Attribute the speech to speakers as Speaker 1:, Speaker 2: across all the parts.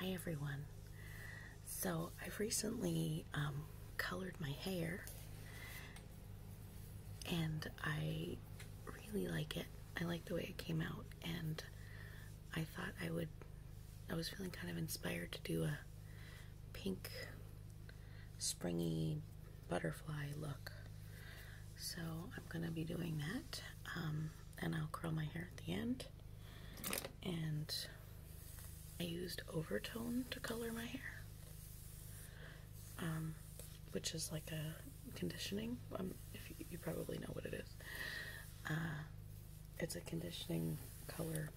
Speaker 1: Hi everyone. So I've recently um, colored my hair and I really like it. I like the way it came out and I thought I would, I was feeling kind of inspired to do a pink springy butterfly look. So I'm going to be doing that. Um, and I'll curl my hair at the end. And I used overtone to color my hair, um, which is like a conditioning. Um, if you, probably know what it is, uh, it's a conditioning color.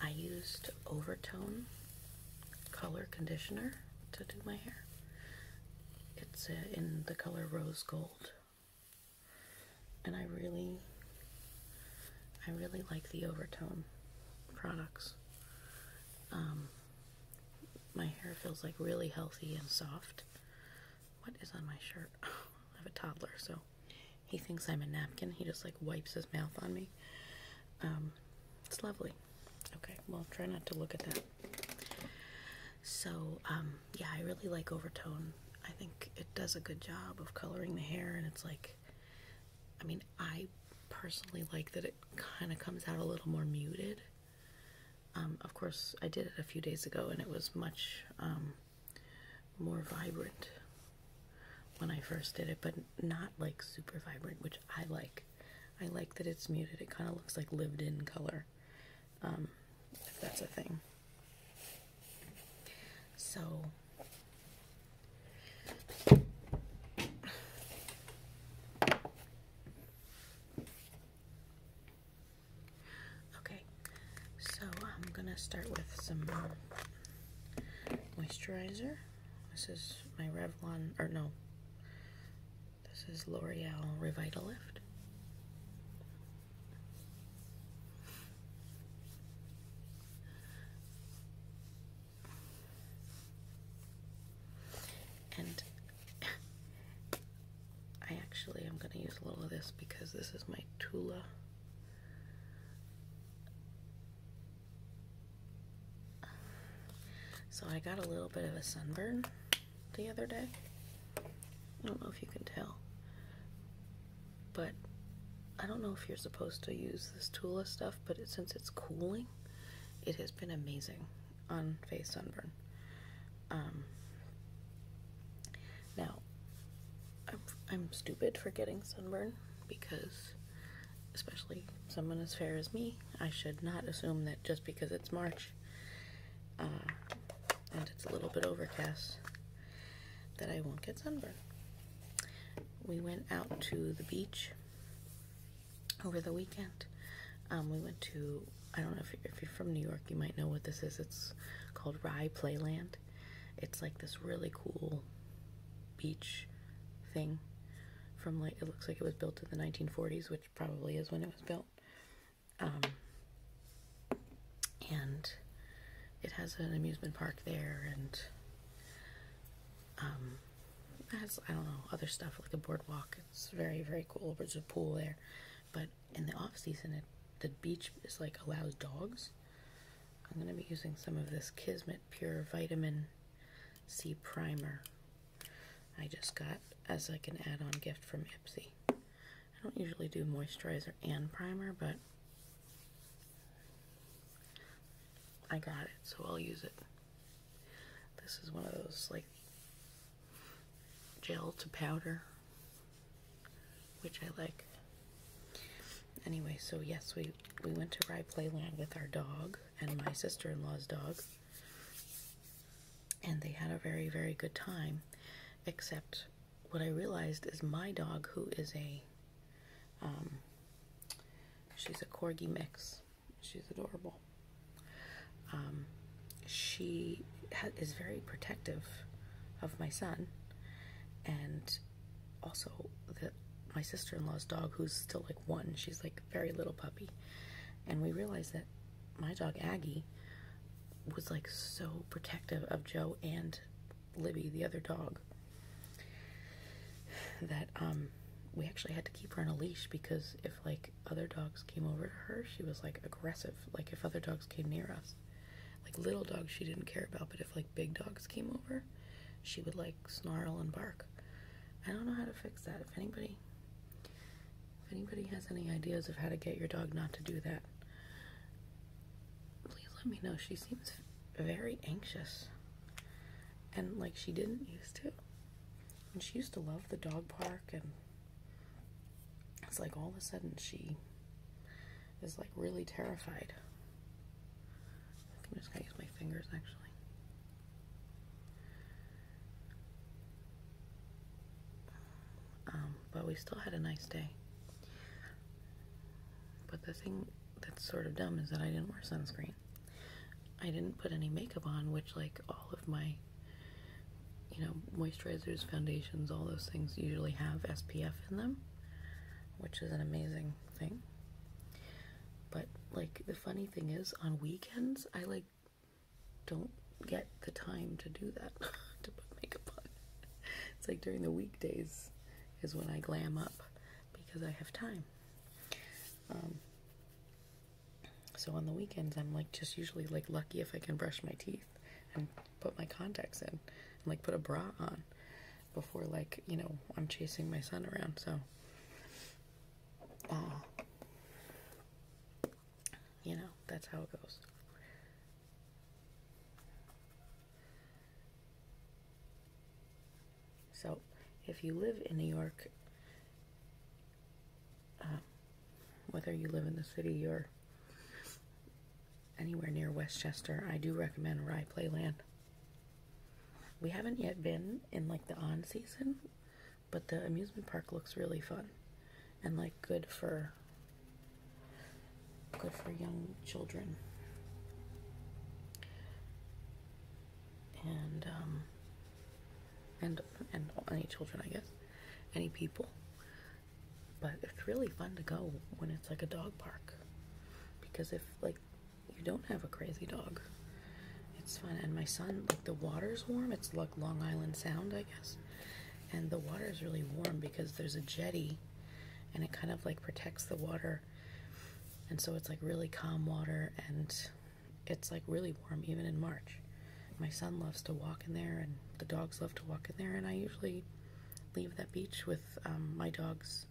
Speaker 1: I used overtone color conditioner to do my hair it's uh, in the color rose gold. And I really, I really like the overtone products. Um, my hair feels like really healthy and soft. What is on my shirt? I have a toddler, so he thinks I'm a napkin. He just like wipes his mouth on me. Um, it's lovely. Okay, well, try not to look at that. So, um, yeah, I really like Overtone. I think it does a good job of coloring the hair, and it's like, I mean, I personally like that it kind of comes out a little more muted. Um, of course, I did it a few days ago, and it was much um, more vibrant when I first did it, but not like super vibrant, which I like. I like that it's muted. It kind of looks like lived in color, um, if that's a thing. So, okay, so I'm gonna start with some moisturizer. This is my Revlon, or no, this is L'Oreal Revitalift. And I actually am going to use a little of this because this is my Tula. So I got a little bit of a sunburn the other day. I don't know if you can tell, but I don't know if you're supposed to use this Tula stuff, but since it's cooling, it has been amazing on face sunburn. Um, now, I'm, I'm stupid for getting sunburn because, especially someone as fair as me, I should not assume that just because it's March uh, and it's a little bit overcast, that I won't get sunburned. We went out to the beach over the weekend. Um, we went to, I don't know if you're from New York, you might know what this is. It's called Rye Playland. It's like this really cool beach thing from like, it looks like it was built in the 1940s, which probably is when it was built. Um, and it has an amusement park there and um, has, I don't know, other stuff like a boardwalk. It's very, very cool. There's a pool there. But in the off season, it, the beach is like allows dogs. I'm going to be using some of this Kismet Pure Vitamin C Primer I just got as like an add-on gift from Ipsy. I don't usually do moisturizer and primer, but I got it, so I'll use it. This is one of those like gel to powder, which I like. Anyway, so yes, we, we went to Rye Playland with our dog and my sister-in-law's dog. And they had a very, very good time. Except what I realized is my dog, who is a, um, she's a corgi mix. She's adorable. Um, she is very protective of my son. And also that my sister-in-law's dog, who's still like one, she's like very little puppy. And we realized that my dog Aggie was like so protective of Joe and Libby, the other dog, that um, we actually had to keep her on a leash because if like other dogs came over to her, she was like aggressive. Like if other dogs came near us, like little dogs she didn't care about, but if like big dogs came over, she would like snarl and bark. I don't know how to fix that. If anybody if anybody has any ideas of how to get your dog not to do that, please let me know. She seems very anxious. And like she didn't used to. And she used to love the dog park and it's like all of a sudden she is like really terrified. I am just gonna use my fingers actually. Um, but we still had a nice day. But the thing that's sort of dumb is that I didn't wear sunscreen. I didn't put any makeup on, which, like, all of my, you know, moisturizers, foundations, all those things usually have SPF in them, which is an amazing thing. But, like, the funny thing is, on weekends, I, like, don't get the time to do that to put makeup on. It's like during the weekdays is when I glam up because I have time. Um, so on the weekends, I'm like just usually like lucky if I can brush my teeth and put my contacts in and like put a bra on before like you know I'm chasing my son around. So. Uh, you know, that's how it goes. So, if you live in New York, um, whether you live in the city or anywhere near Westchester, I do recommend Rye Playland. We haven't yet been in like the on season, but the amusement park looks really fun and like good for good for young children. And um and and any children, I guess. Any people. But it's really fun to go when it's like a dog park. Because if like you don't have a crazy dog, it's fun. And my son, like the water's warm. It's like Long Island Sound, I guess. And the water is really warm because there's a jetty and it kind of like protects the water. And so it's like really calm water and it's like really warm even in March. My son loves to walk in there and the dogs love to walk in there and I usually leave that beach with um, my dogs,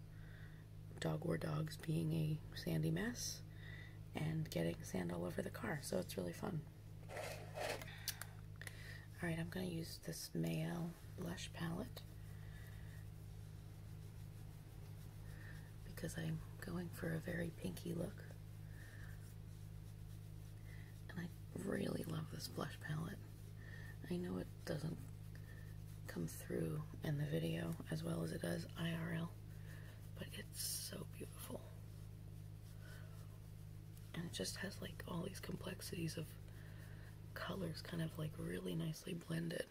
Speaker 1: dog or dogs being a sandy mess and getting sand all over the car. So it's really fun. All right, I'm going to use this Mayo Blush Palette because I'm going for a very pinky look. And I really love this blush palette. I know it doesn't come through in the video as well as it does IRL, but it's so beautiful and it just has like all these complexities of colors kind of like really nicely blended.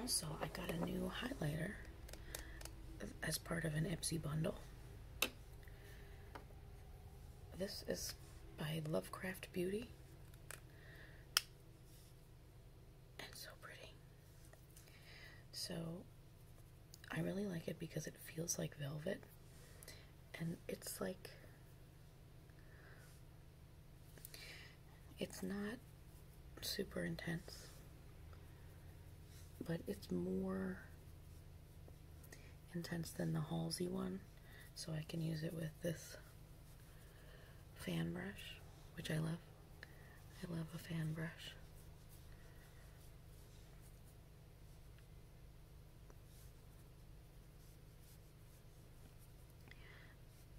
Speaker 1: Also, I got a new highlighter as part of an Epsy bundle. This is by Lovecraft Beauty. And so pretty. So I really like it because it feels like velvet. And it's like, it's not super intense, but it's more intense than the Halsey one so I can use it with this fan brush, which I love. I love a fan brush.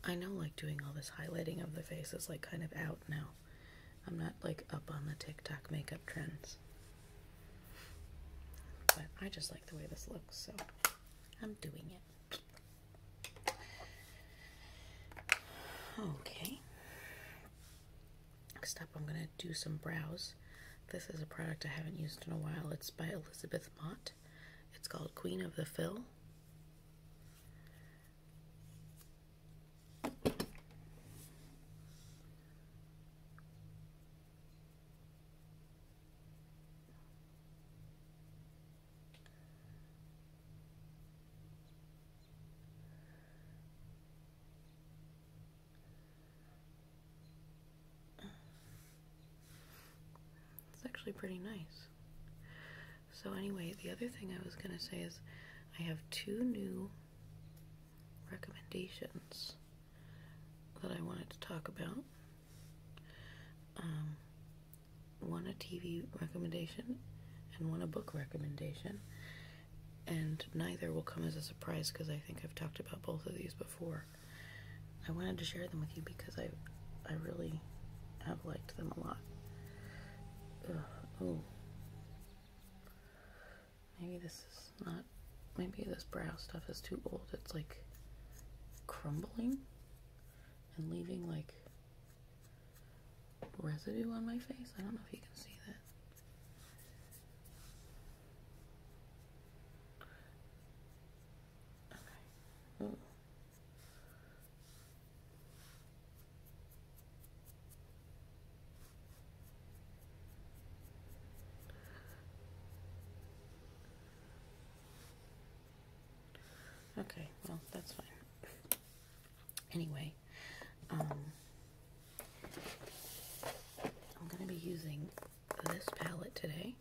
Speaker 1: I know like doing all this highlighting of the face is like kind of out now. I'm not like up on the TikTok makeup trends. But I just like the way this looks, so I'm doing it. Okay. Next up, I'm going to do some brows. This is a product I haven't used in a while. It's by Elizabeth Mott. It's called Queen of the Fill. It's actually pretty nice. So, anyway, the other thing I was going to say is I have two new recommendations that I wanted to talk about. Um, one a TV recommendation and one a book recommendation, and neither will come as a surprise because I think I've talked about both of these before. I wanted to share them with you because I, I really have liked them a lot. oh. Maybe this is not, maybe this brow stuff is too old. It's like crumbling and leaving like residue on my face. I don't know if you can see that. Okay. Okay, well, that's fine. Anyway, um, I'm going to be using this palette today,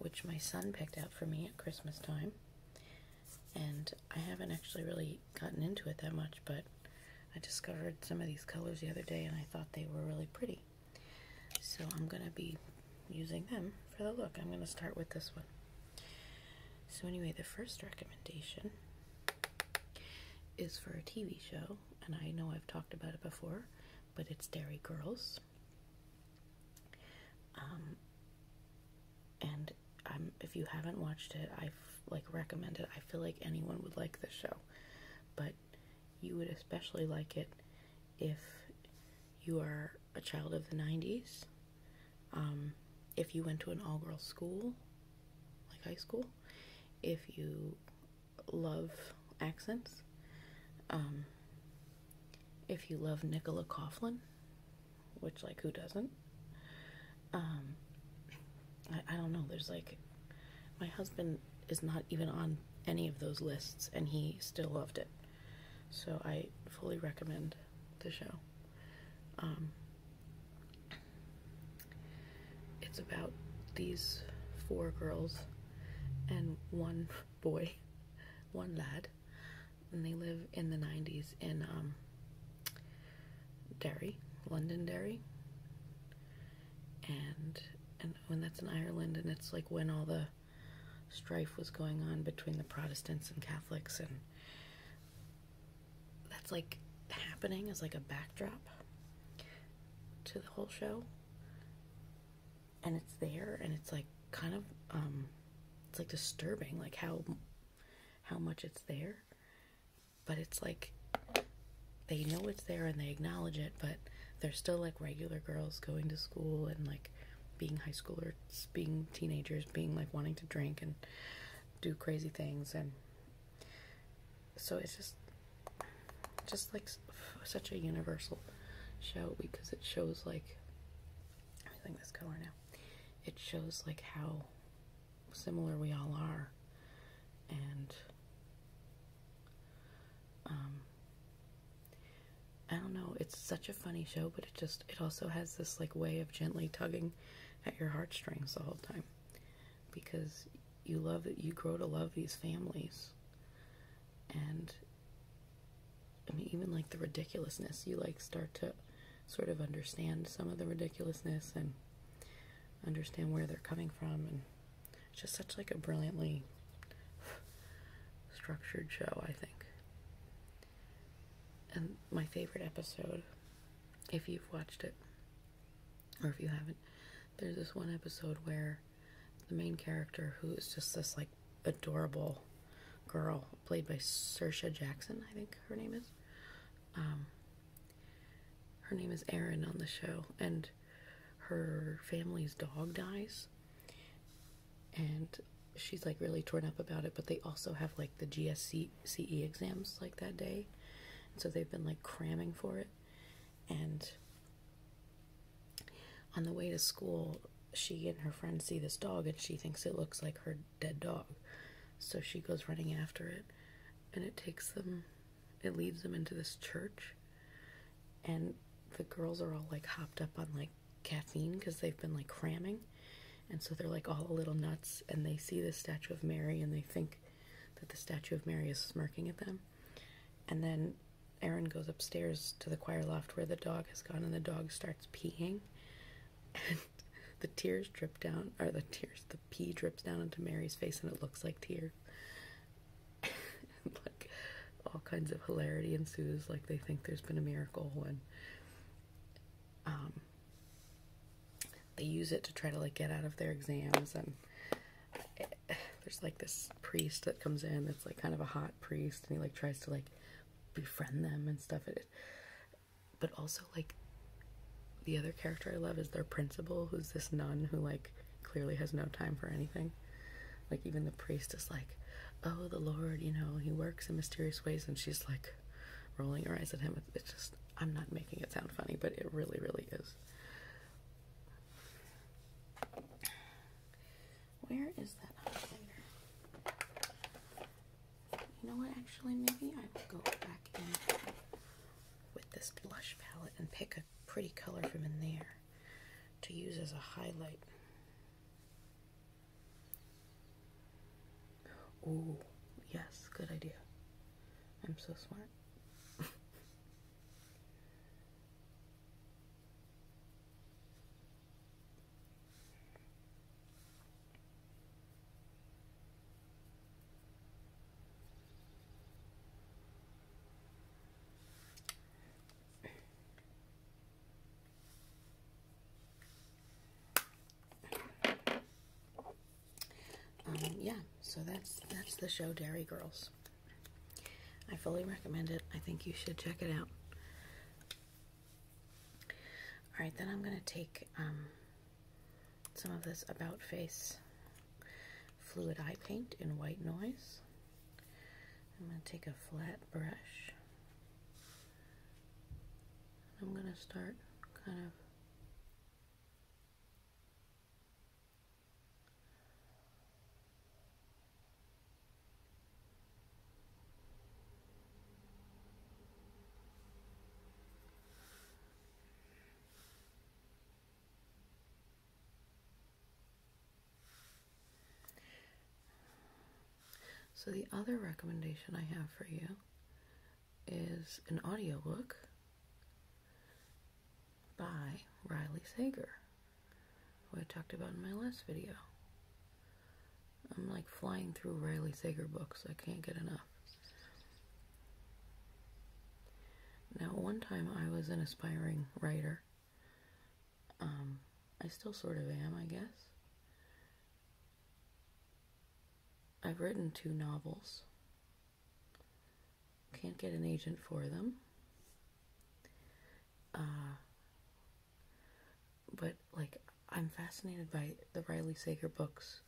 Speaker 1: which my son picked out for me at Christmas time. And I haven't actually really gotten into it that much, but I discovered some of these colors the other day and I thought they were really pretty. So I'm going to be using them for the look. I'm going to start with this one. So anyway, the first recommendation is for a TV show, and I know I've talked about it before, but it's Dairy Girls. Um, and i if you haven't watched it, I've like recommended. I feel like anyone would like this show, but you would especially like it if you are a child of the 90s, um, if you went to an all girls school, like high school, if you love accents, um, if you love Nicola Coughlin, which, like, who doesn't? Um, I don't know, there's like my husband is not even on any of those lists, and he still loved it. So I fully recommend the show. Um, it's about these four girls and one boy, one lad, and they live in the 90s in um, Derry, Londonderry and and when that's in Ireland, and it's like when all the strife was going on between the Protestants and Catholics, and that's like happening as like a backdrop to the whole show, and it's there, and it's like kind of um, it's like disturbing, like how how much it's there, but it's like they know it's there and they acknowledge it, but they're still like regular girls going to school and like being high schoolers, being teenagers, being like wanting to drink and do crazy things and so it's just just like such a universal show because it shows like I'm using this color now. It shows like how similar we all are and um, I don't know, it's such a funny show, but it just it also has this like way of gently tugging at your heartstrings the whole time because you love that you grow to love these families. And I mean even like the ridiculousness, you like start to sort of understand some of the ridiculousness and understand where they're coming from and it's just such like a brilliantly structured show, I think. And my favorite episode, if you've watched it, or if you haven't, there's this one episode where the main character, who is just this like adorable girl, played by Sersha Jackson, I think her name is. Um, her name is Erin on the show, and her family's dog dies and she's like really torn up about it but they also have like the GSC CE exams like that day so they've been like cramming for it and on the way to school she and her friend see this dog and she thinks it looks like her dead dog so she goes running after it and it takes them it leads them into this church and the girls are all like hopped up on like caffeine because they've been like cramming and so they're like all a little nuts and they see the statue of mary and they think that the statue of mary is smirking at them and then aaron goes upstairs to the choir loft where the dog has gone and the dog starts peeing and the tears drip down or the tears the pee drips down into mary's face and it looks like tears like all kinds of hilarity ensues like they think there's been a miracle and um they use it to try to like get out of their exams and eh, there's like this priest that comes in that's like kind of a hot priest and he like tries to like befriend them and stuff it, but also like the other character I love is their principal who's this nun who like clearly has no time for anything. Like even the priest is like, "Oh, the Lord, you know, he works in mysterious ways," and she's like rolling her eyes at him. It's just I'm not making it sound funny, but it really, really is. Where is that highlighter? You know what? Actually, maybe I will go back in with this blush palette and pick a pretty color from in there to use as a highlight. Oh, yes, good idea. I'm so smart. Um, yeah, so that's that's the show Dairy Girls. I fully recommend it. I think you should check it out. All right, then I'm going to take um, some of this About Face Fluid Eye Paint in White Noise. I'm going to take a flat brush. I'm going to start kind of so, the other recommendation I have for you is an audio book by Riley Sager, who I talked about in my last video. I'm like flying through Riley Sager books, I can't get enough. Now, one time I was an aspiring writer um, I still sort of am, I guess. I've written two novels. Can't get an agent for them. Uh, but, like, I'm fascinated by the Riley Sager books,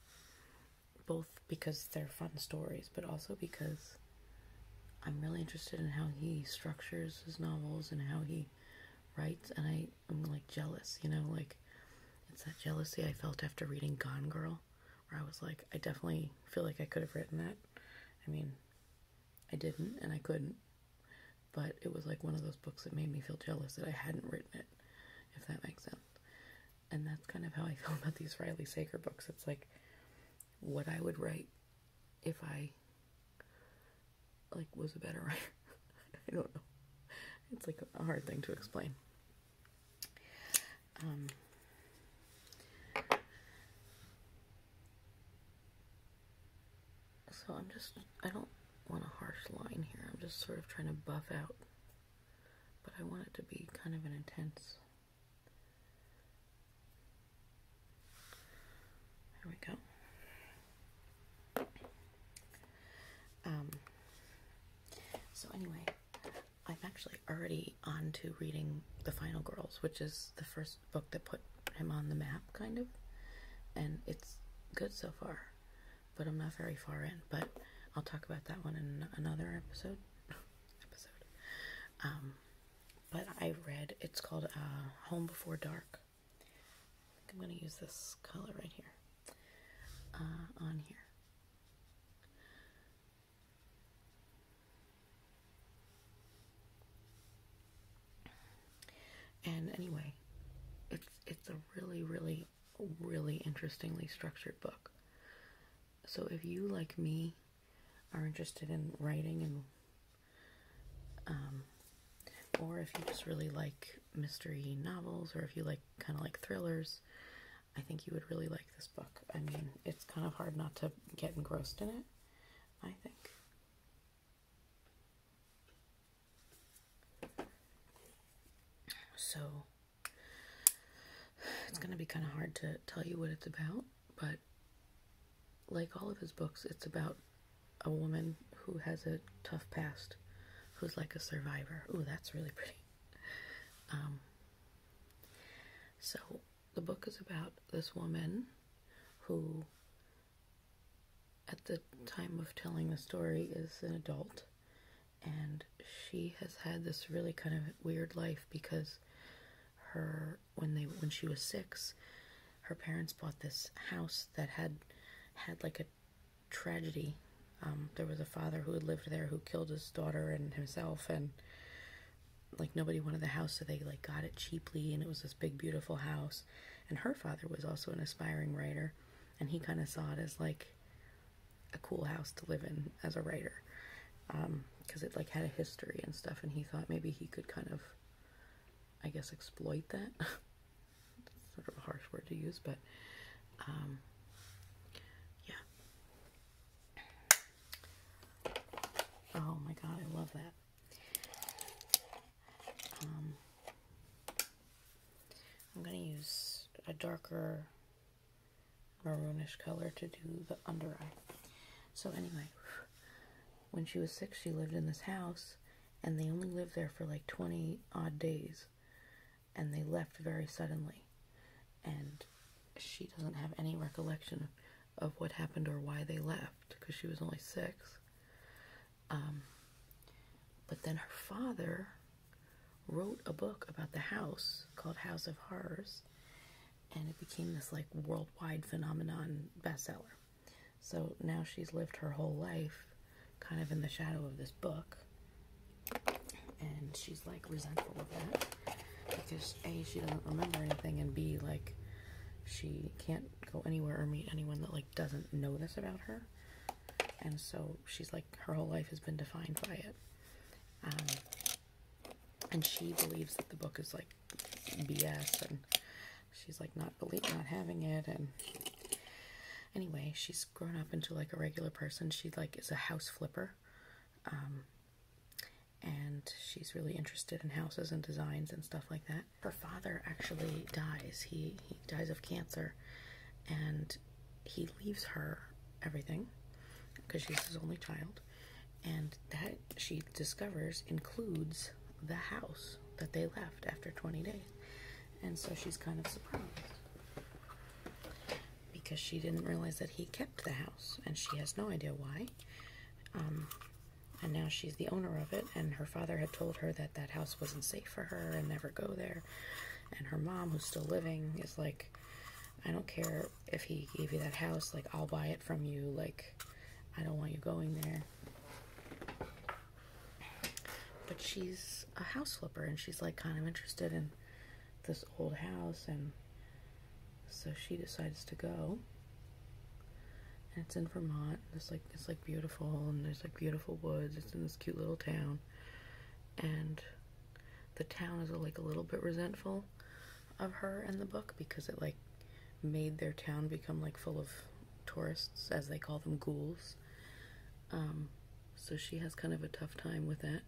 Speaker 1: both because they're fun stories, but also because I'm really interested in how he structures his novels and how he writes, and I, am like jealous, you know, like it's that jealousy I felt after reading Gone Girl, where I was like, I definitely feel like I could have written that. I mean, I didn't, and I couldn't, but it was like one of those books that made me feel jealous that I hadn't written it, if that makes sense. And that's kind of how I feel about these Riley Sager books. It's like what I would write if I like was a better writer. I don't know. It's like a hard thing to explain. Um, so I'm just, I don't want a harsh line here. I'm just sort of trying to buff out. But I want it to be kind of an intense there we go. Um, so anyway, I'm actually already on to reading The Final Girls, which is the first book that put him on the map, kind of. And it's good so far, but I'm not very far in. But I'll talk about that one in another episode. episode. Um, but I read it's called uh, Home Before Dark. I am gonna use this color right here uh, on here. And anyway, it's it's a really really really interestingly structured book. So if you like me are interested in writing and um, or if you just really like mystery novels, or if you like kind of like thrillers, I think you would really like this book. I mean, it's kind of hard not to get engrossed in it, I think. So, it's going to be kind of hard to tell you what it's about, but like all of his books, it's about a woman who has a tough past, who's like a survivor. Ooh, that's really pretty. Um, so the book is about this woman who, at the time of telling the story, is an adult. And she has had this really kind of weird life because her when they when she was six, her parents bought this house that had had like a tragedy. Um, there was a father who had lived there who killed his daughter and himself, and like nobody wanted the house, so they like got it cheaply, and it was this big beautiful house. And her father was also an aspiring writer, and he kind of saw it as like a cool house to live in as a writer because um, it like had a history and stuff, and he thought maybe he could kind of I guess, exploit that. sort of a harsh word to use, but um, yeah. Oh my god, I love that. Um, I'm going to use a darker maroonish color to do the under eye. So anyway, when she was six, she lived in this house, and they only lived there for like 20 odd days, and they left very suddenly. And she doesn't have any recollection of what happened or why they left because she was only six. Um, but then her father wrote a book about the house called House of Horrors, and it became this like worldwide phenomenon bestseller. So now she's lived her whole life kind of in the shadow of this book. And she's like resentful of that because A, she doesn't remember anything, and B, like she can't go anywhere or meet anyone that like doesn't know this about her. And so she's like, her whole life has been defined by it. Um, and she believes that the book is like BS, and she's like not believe not having it, and anyway, she's grown up into like a regular person. She like is a house flipper, um, and she's really interested in houses and designs and stuff like that. Her father actually dies. He he dies of cancer, and he leaves her everything because she's his only child, and that she discovers includes the house that they left after 20 days. And so she's kind of surprised because she didn't realize that he kept the house and she has no idea why. Um, and now she's the owner of it and her father had told her that that house wasn't safe for her and never go there. And her mom, who's still living, is like, I don't care if he gave you that house, like, I'll buy it from you, like, I don't want you going there but she's a house flipper and she's like kind of interested in this old house and so she decides to go and it's in Vermont it's like it's like beautiful and there's like beautiful woods it's in this cute little town and the town is like a little bit resentful of her in the book because it like made their town become like full of tourists, as they call them, ghouls. Um, so she has kind of a tough time with that.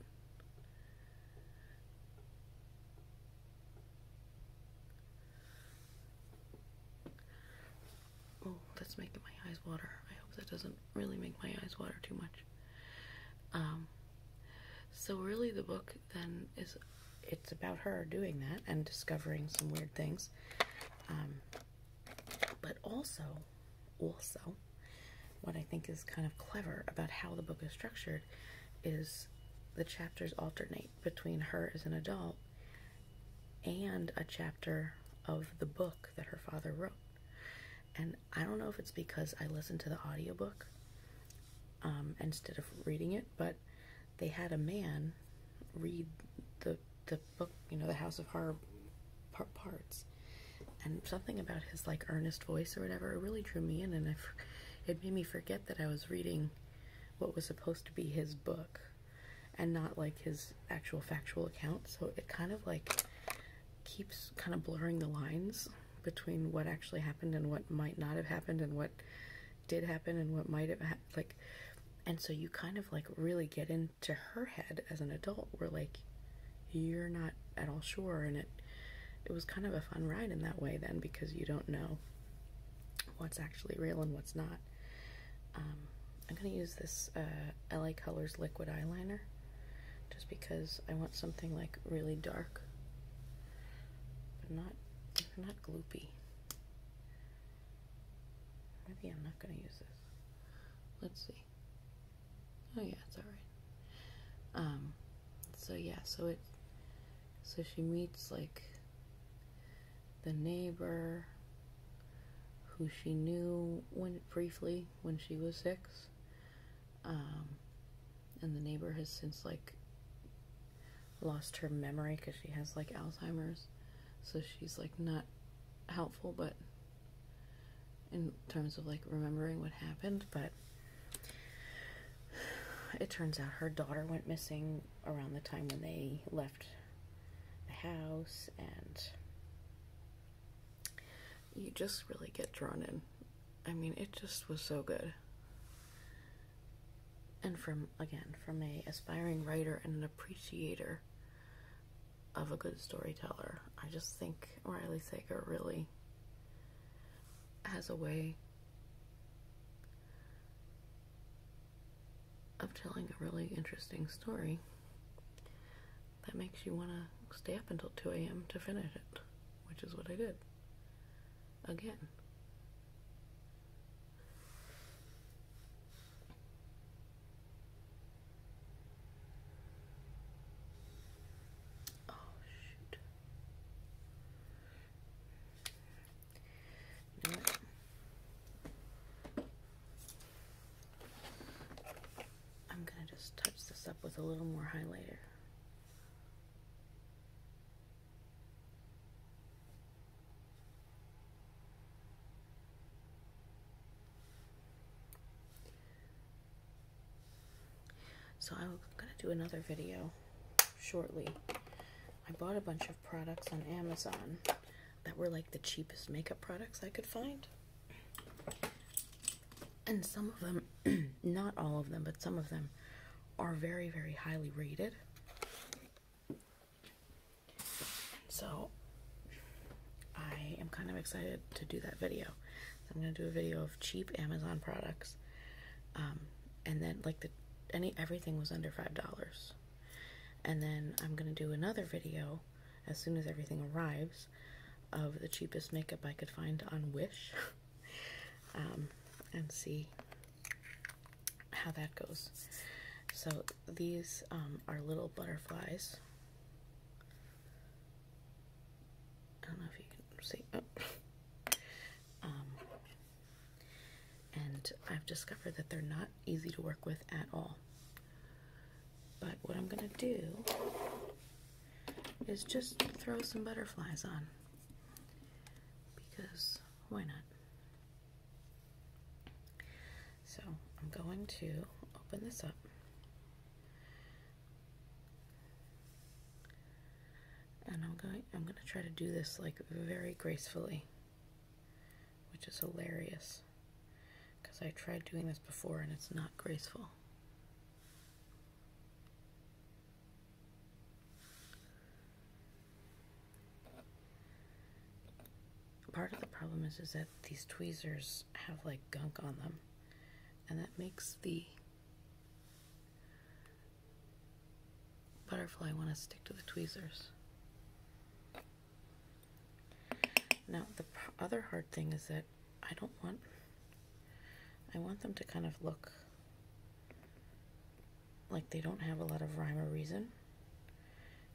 Speaker 1: Oh, that's making my eyes water. I hope that doesn't really make my eyes water too much. Um, so really the book then is it's about her doing that and discovering some weird things. Um, but also, also, what I think is kind of clever about how the book is structured is the chapters alternate between her as an adult and a chapter of the book that her father wrote. And I don't know if it's because I listened to the audiobook um, instead of reading it, but they had a man read the the book, you know, the House of Horror parts, and something about his like earnest voice or whatever, it really drew me in, and it made me forget that I was reading what was supposed to be his book, and not like his actual factual account. So it kind of like keeps kind of blurring the lines between what actually happened and what might not have happened and what did happen and what might have happened like and so you kind of like really get into her head as an adult where like you're not at all sure and it it was kind of a fun ride in that way then because you don't know what's actually real and what's not um, i'm going to use this uh, la colors liquid eyeliner just because i want something like really dark but not not gloopy Maybe I'm not going to use this. Let's see. Oh yeah, it's all right. Um, so yeah, so it, so she meets like the neighbor who she knew when briefly when she was six. Um, and the neighbor has since like lost her memory because she has like Alzheimer's. So she's like not helpful, but in terms of like remembering what happened, but it turns out her daughter went missing around the time when they left the house and you just really get drawn in. I mean, it just was so good and from again from a aspiring writer and an appreciator of a good storyteller i just think riley sager really has a way of telling a really interesting story that makes you want to stay up until 2 a.m. to finish it, which is what I did. Again. Oh, shoot. I'm going to just touch this up with a little more highlighter. So I'm going to do another video shortly. I bought a bunch of products on Amazon that were like the cheapest makeup products I could find. And some of them, not all of them, but some of them are very, very highly rated. And so I am kind of excited to do that video. I'm gonna do a video of cheap Amazon products. Um, and then like the any everything was under five dollars. And then I'm gonna do another video as soon as everything arrives of the cheapest makeup I could find on Wish. Um, and see how that goes. So these um, are little butterflies. I don't know if you can see. Oh. Um, and I've discovered that they're not easy to work with at all. But what I'm going to do is just throw some butterflies on. Because why not? So I'm going to open this up. And I'm going I'm going to try to do this like very gracefully, which is hilarious because I tried doing this before and it's not graceful. Part of the problem is, is that these tweezers have like gunk on them, and that makes the butterfly want to stick to the tweezers. Now, the other hard thing is that I don't want, I want them to kind of look like they don't have a lot of rhyme or reason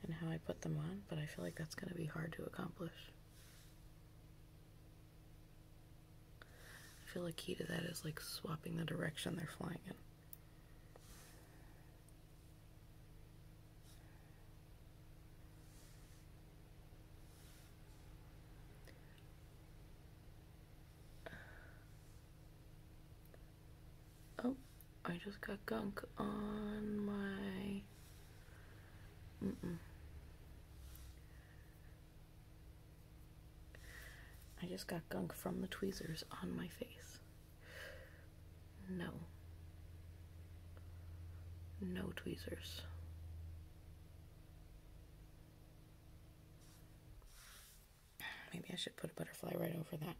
Speaker 1: and how I put them on, but I feel like that's going to be hard to accomplish. I feel a key to that is like swapping the direction they're flying in. Oh, I just got gunk on my... Mm I just got gunk from the tweezers on my face. No. No tweezers. Maybe I should put a butterfly right over that.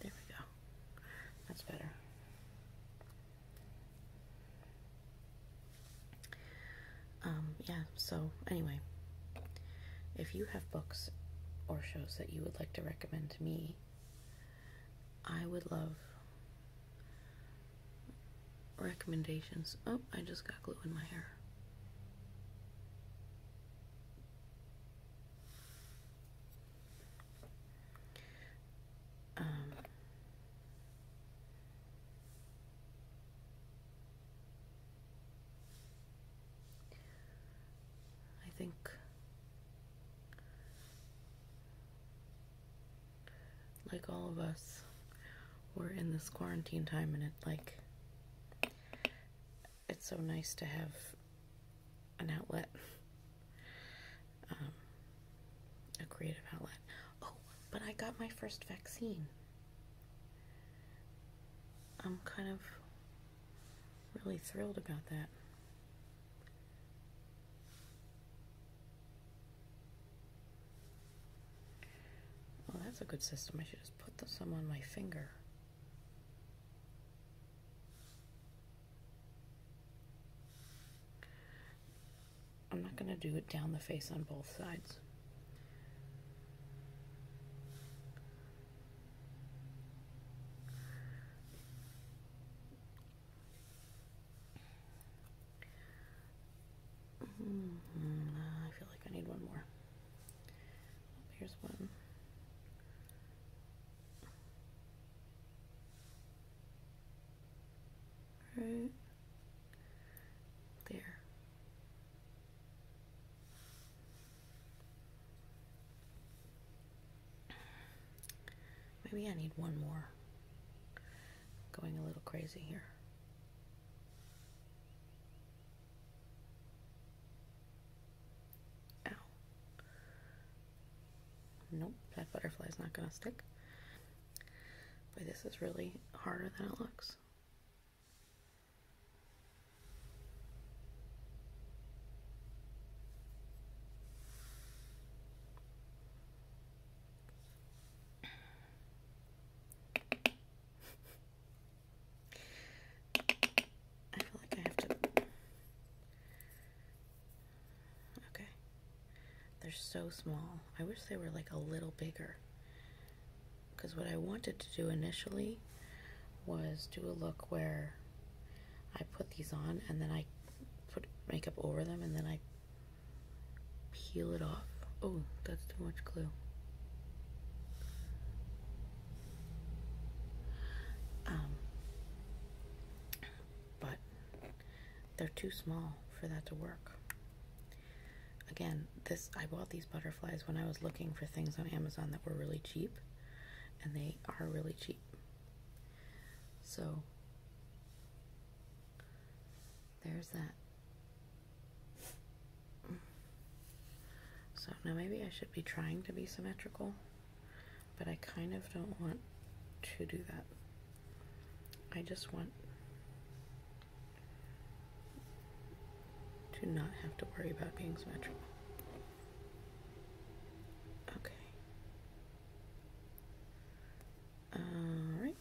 Speaker 1: There we go. That's better. Um, yeah, so anyway, if you have books or shows that you would like to recommend to me, I would love recommendations. Oh, I just got glue in my hair. Um, I think like all of us, we're in this quarantine time, and it like it's so nice to have an outlet, um, a creative outlet. Oh, but I got my first vaccine. I'm kind of really thrilled about that. Well, that's a good system. I should just put some on my finger. I'm not going to do it down the face on both sides. Mm I feel like I need one more. Oh, here's one. Right there. Maybe I need one more. going a little crazy here. Ow. Nope, that butterfly's not going to stick. But this is really harder than it looks. I feel like I have to. Okay. They're so small. I wish they were like a little bigger. Because what I wanted to do initially was do a look where I put these on and then I put makeup over them and then I peel it off. Oh, that's too much glue. Um, but they're too small for that to work. Again, this I bought these butterflies when I was looking for things on Amazon that were really cheap, and they are really cheap. So there's that. So now maybe I should be trying to be symmetrical, but I kind of don't want to do that. I just want to not have to worry about being symmetrical. Okay. All right.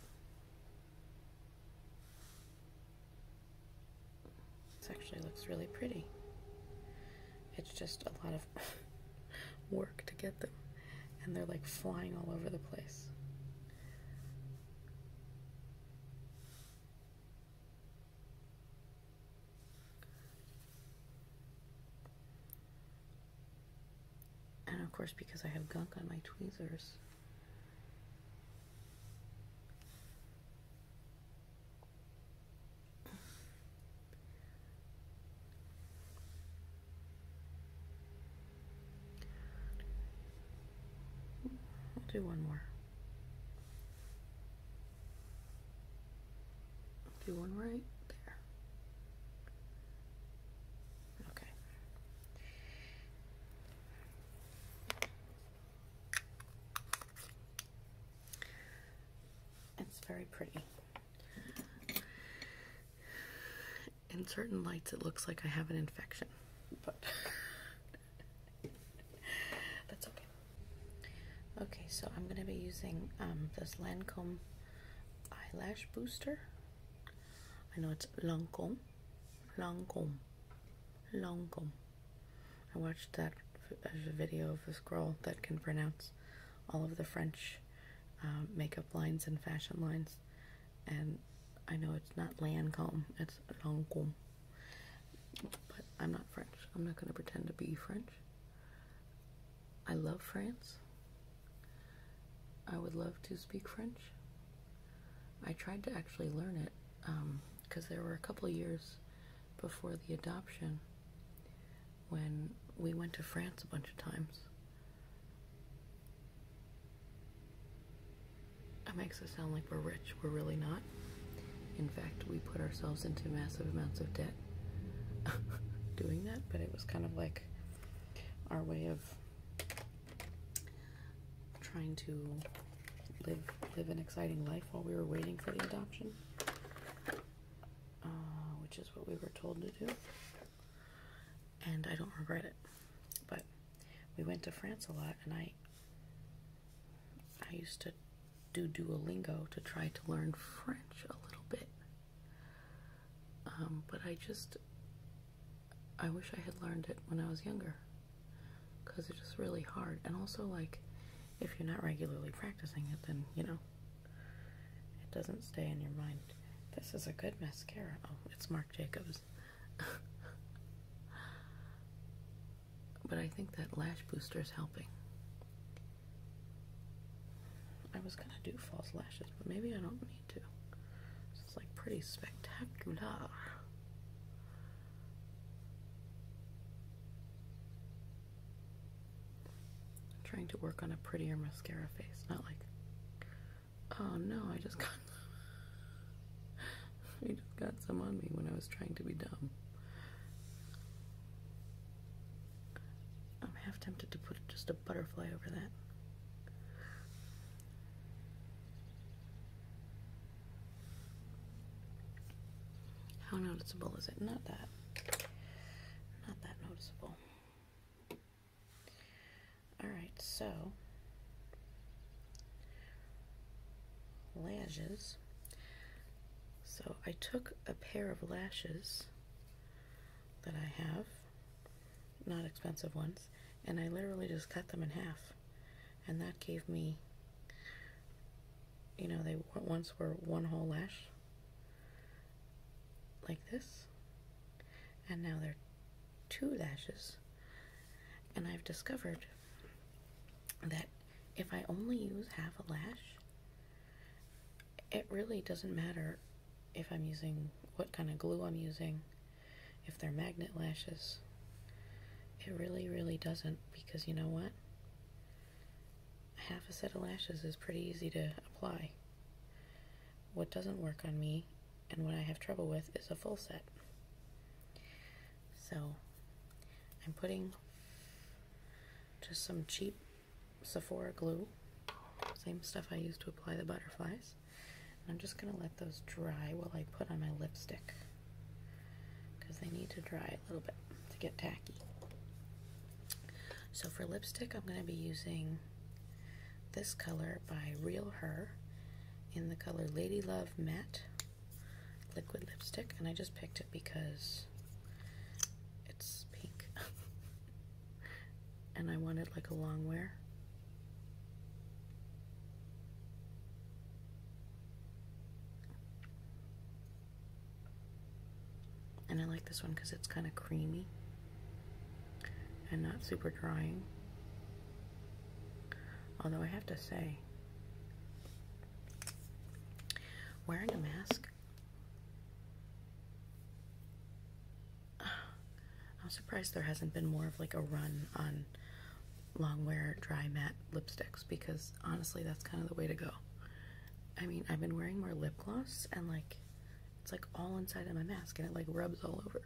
Speaker 1: This actually looks really pretty. It's just a lot of work to get them, and they're like flying all over the place. And of course, because I have gunk on my tweezers, I'll do one more do one right there. Okay. It's very pretty. In certain lights, it looks like I have an infection, but that's okay. Okay, so I'm going to be using um, this Lancome eyelash booster. I know it's Lancome, Lancome, Lancome. I watched that uh, video of a girl that can pronounce all of the French uh, makeup lines and fashion lines, and I know it's not Lancome, it's Lancome. But I'm not French. I'm not going to pretend to be French. I love France. I would love to speak French. I tried to actually learn it because um, there were a couple years before the adoption when we went to France a bunch of times. That makes it sound like we're rich. We're really not. In fact, we put ourselves into massive amounts of debt doing that, but it was kind of like our way of trying to live live an exciting life while we were waiting for the adoption, uh, which is what we were told to do. And I don't regret it, but we went to France a lot, and I I used to do Duolingo to try to learn French a little bit. Um, but I just, I wish I had learned it when I was younger because it's just really hard. And also, like, if you're not regularly practicing it, then, you know, it doesn't stay in your mind. This is a good mascara. Oh, it's Marc Jacobs. but I think that lash booster is helping. I was gonna do false lashes, but maybe I don't need it's like pretty spectacular. trying to work on a prettier mascara face, not like, oh no, I just got, I just got some on me when I was trying to be dumb. I'm half tempted to put just a butterfly over that. How noticeable is it? Not that. Not that noticeable. Alright, so lashes. So I took a pair of lashes that I have not expensive ones, and I literally just cut them in half. And that gave me, you know, they once were one whole lash, like this, and now they're two lashes. And I've discovered that if I only use half a lash, it really doesn't matter if I'm using what kind of glue I'm using, if they're magnet lashes. It really, really doesn't because you know what? Half a set of lashes is pretty easy to apply. What doesn't work on me and what I have trouble with is a full set. So I'm putting just some cheap Sephora glue, same stuff I used to apply the butterflies. I'm just going to let those dry while I put on my lipstick because they need to dry a little bit to get tacky. So for lipstick, I'm going to be using this color by Real Her in the color Lady Love Matte liquid lipstick. And I just picked it because it's pink. and I wanted like a long wear. And I like this one because it's kind of creamy and not super drying. Although I have to say, wearing a mask I'm surprised there hasn't been more of like a run on long wear dry matte lipsticks because honestly that's kind of the way to go. I mean, I've been wearing more lip gloss and like it's like all inside of my mask and it like rubs all over.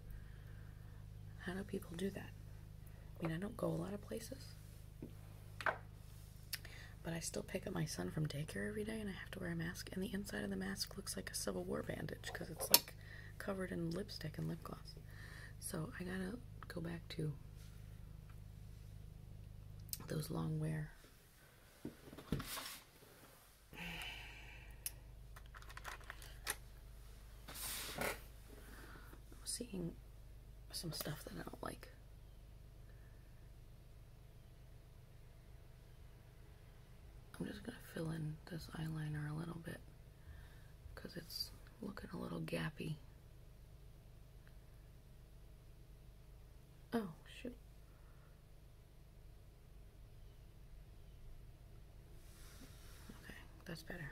Speaker 1: How do people do that? I mean, I don't go a lot of places. But I still pick up my son from daycare every day and I have to wear a mask and the inside of the mask looks like a Civil War bandage because it's like covered in lipstick and lip gloss. So I gotta go back to those long wear. seeing some stuff that I don't like. I'm just going to fill in this eyeliner a little bit because it's looking a little gappy. Oh, shoot. Okay, that's better.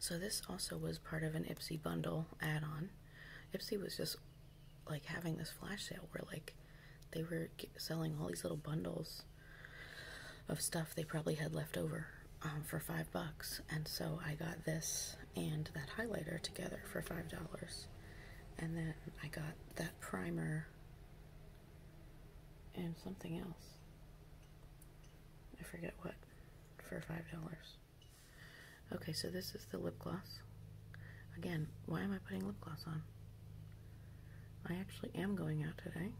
Speaker 1: So this also was part of an Ipsy bundle add-on. Ipsy was just like having this flash sale where like they were selling all these little bundles of stuff they probably had left over um, for five bucks. And so I got this and that highlighter together for five dollars. And then I got that primer and something else. I forget what for five dollars. Okay, so this is the lip gloss. Again, why am I putting lip gloss on? I actually am going out today.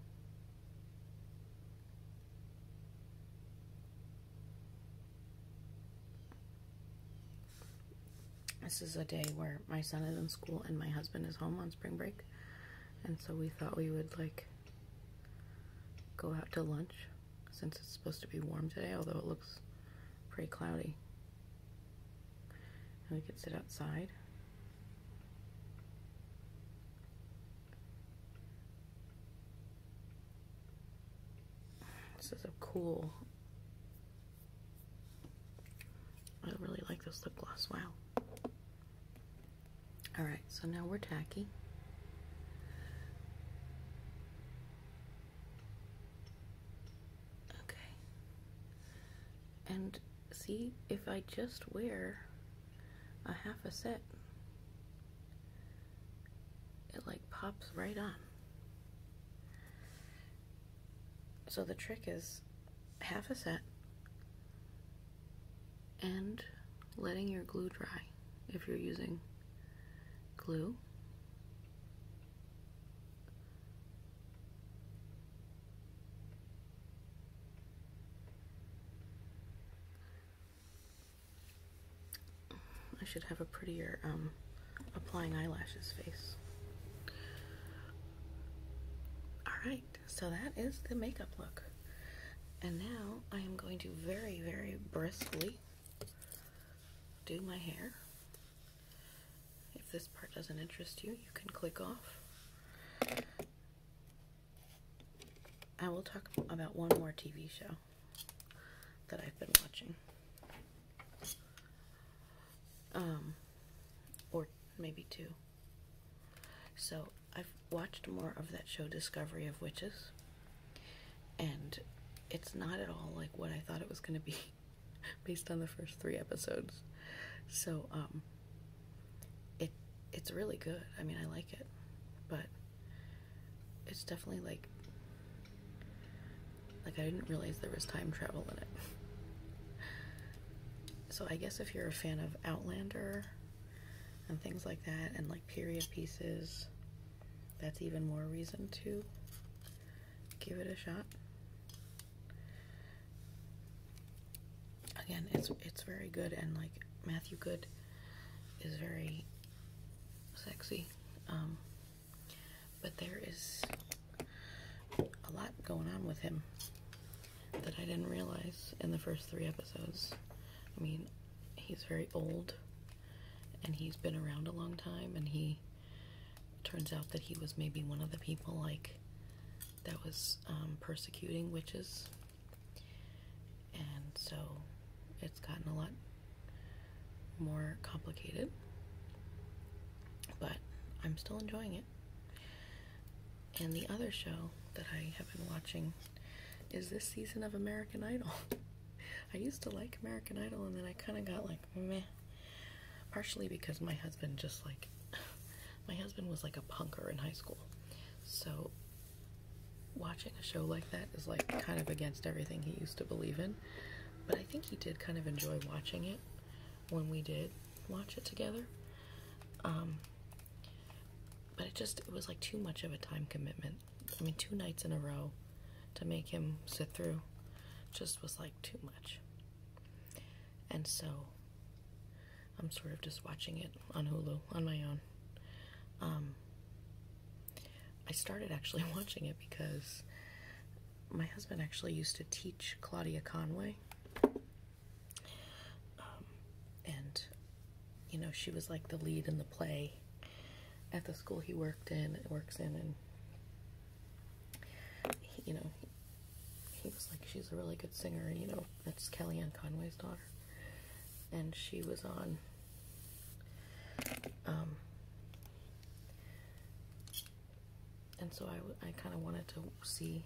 Speaker 1: This is a day where my son is in school and my husband is home on spring break. And so we thought we would like go out to lunch since it's supposed to be warm today, although it looks pretty cloudy. And we could sit outside. This is a cool. I really like this lip gloss. Wow. Alright, so now we're tacky. Okay. And see, if I just wear a half a set, it like pops right on. So the trick is half a set and letting your glue dry if you're using glue I should have a prettier um, applying eyelashes face. Alright, so that is the makeup look. And now I am going to very, very briskly do my hair. If this part doesn't interest you, you can click off. I will talk about one more TV show that I've been watching. Um, or maybe two. So I've watched more of that show Discovery of Witches, and it's not at all like what I thought it was going to be. based on the first three episodes. So um, it it's really good. I mean I like it. But it's definitely like like I didn't realize there was time travel in it. so I guess if you're a fan of Outlander and things like that and like period pieces, that's even more reason to give it a shot. Again, it's it's very good and like Matthew Good is very sexy. Um, but there is a lot going on with him that I didn't realize in the first three episodes. I mean, he's very old and he's been around a long time and he Turns out that he was maybe one of the people like that was um, persecuting witches, and so it's gotten a lot more complicated. But I'm still enjoying it. And the other show that I have been watching is this season of American Idol. I used to like American Idol and then I kind of got like like Partially because my husband just like my husband was like a punker in high school. So watching a show like that is like kind of against everything he used to believe in. But I think he did kind of enjoy watching it when we did watch it together. Um, but it just, it was like too much of a time commitment. I mean, two nights in a row to make him sit through just was like too much. And so I'm sort of just watching it on Hulu on my own. Um, I started actually watching it because my husband actually used to teach Claudia Conway. Um, and, you know, she was like the lead in the play at the school he worked in, works in, and you know, he was like, she's a really good singer, and you know, that's Kellyanne Conway's daughter, and she was on, um, and so I, I kind of wanted to see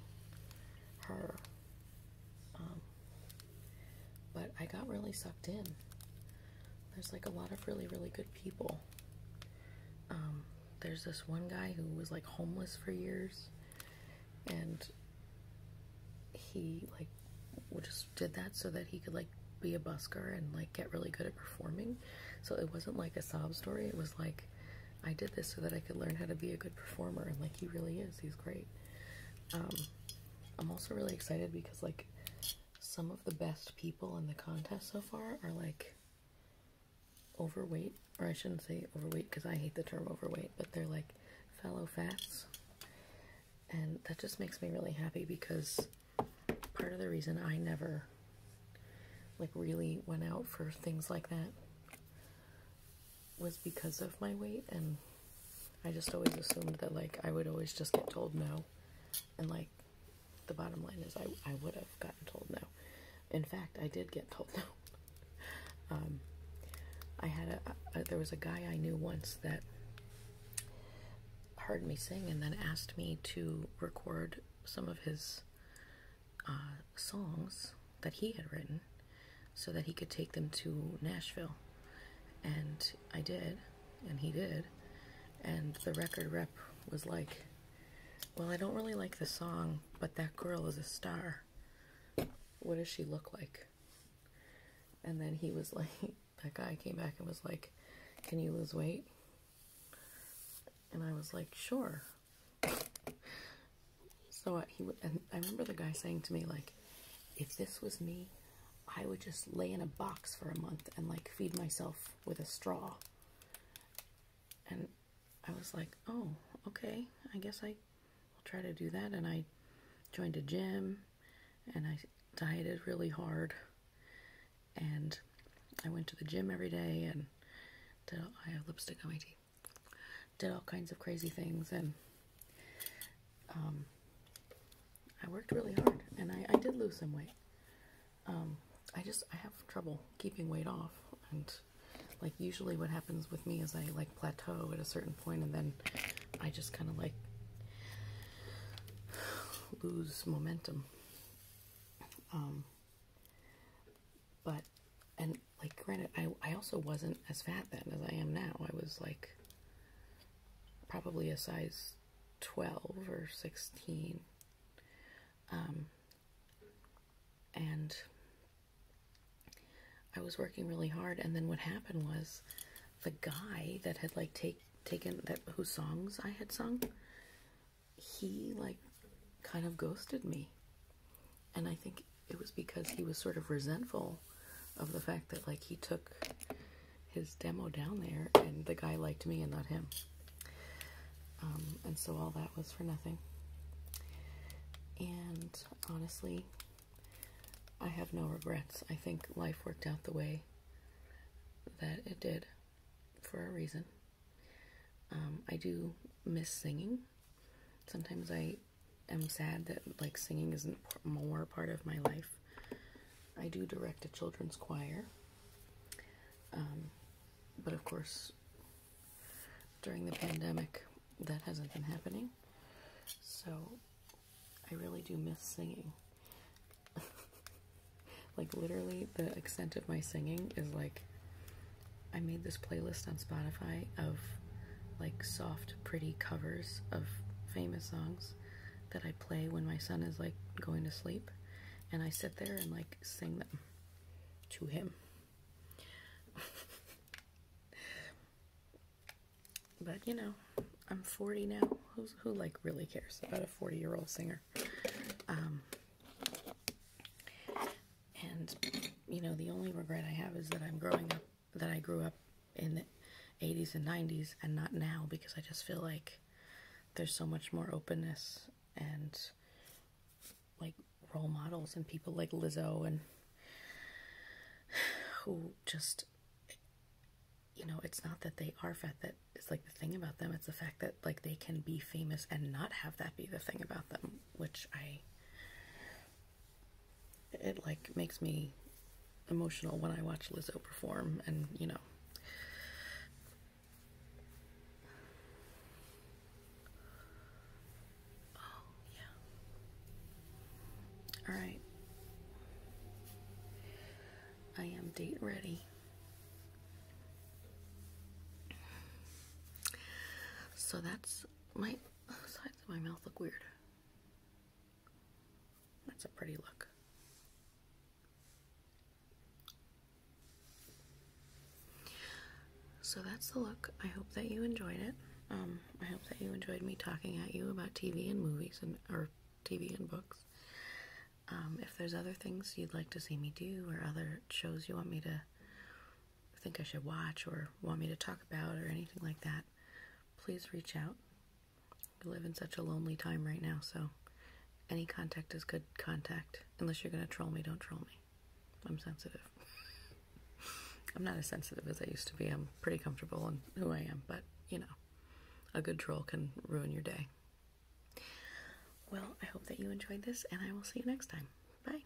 Speaker 1: her, um, but I got really sucked in. There's like a lot of really, really good people um, there's this one guy who was like homeless for years and he like just did that so that he could like be a busker and like get really good at performing. So it wasn't like a sob story. It was like I did this so that I could learn how to be a good performer and like he really is. He's great. Um, I'm also really excited because like some of the best people in the contest so far are like overweight, or I shouldn't say overweight because I hate the term overweight, but they're like fellow fats. And that just makes me really happy because part of the reason I never like really went out for things like that was because of my weight and I just always assumed that like I would always just get told no and like the bottom line is I, I would have gotten told no. In fact, I did get told no. um, I had a, there was a guy I knew once that heard me sing and then asked me to record some of his uh, songs that he had written so that he could take them to Nashville. And I did, and he did. And the record rep was like, well, I don't really like the song, but that girl is a star. What does she look like? And then he was like, that guy came back and was like, Can you lose weight? And I was like, Sure. So I, he I remember the guy saying to me like, if this was me, I would just lay in a box for a month and like feed myself with a straw. And I was like, oh, okay, I guess I will try to do that. And I joined a gym and I dieted really hard. And I went to the gym every day and I had lipstick on my teeth. Did all kinds of crazy things and um, I worked really hard and I did lose some weight um, I just I have trouble keeping weight off, and like usually what happens with me is I like plateau at a certain point, and then I just kind of like lose momentum. Um, but and like granted, I I also wasn't as fat then as I am now. I was like probably a size 12 or 16. Um, and I was working really hard, and then what happened was the guy that had like take taken that whose songs I had sung, he like kind of ghosted me. And I think it was because he was sort of resentful of the fact that like he took his demo down there and the guy liked me and not him. Um, and so all that was for nothing. And honestly, I have no regrets. I think life worked out the way that it did for a reason. Um, I do miss singing. Sometimes I am sad that like singing isn't more part of my life. I do direct a children's choir. Um, but of course, during the pandemic. That hasn't been happening. So I really do miss singing. like literally the extent of my singing is like I made this playlist on Spotify of like soft, pretty covers of famous songs that I play when my son is like going to sleep and I sit there and like sing them to him. but you know, I'm 40 now. Who's, who like really cares about a 40 year old singer? Um, and you know, the only regret I have is that I'm growing up, that I grew up in the 80s and 90s and not now because I just feel like there's so much more openness and like role models and people like Lizzo and who just you know it's not that they are fat that is like the thing about them it's the fact that like they can be famous and not have that be the thing about them which i it like makes me emotional when i watch lizzo perform and you know Oh, yeah. All right. I am date ready. So that's my oh, sides of my mouth look weird. That's a pretty look. So that's the look. I hope that you enjoyed it. Um, I hope that you enjoyed me talking at you about TV and movies and or TV and books. Um, if there's other things you'd like to see me do or other shows you want me to think I should watch or want me to talk about or anything like that, please reach out. We live in such a lonely time right now, so any contact is good contact. Unless you're going to troll me, don't troll me. I'm sensitive. I'm not as sensitive as I used to be. I'm pretty comfortable in who I am, but you know, a good troll can ruin your day. Well, I hope that you enjoyed this, and I will see you next time. Bye.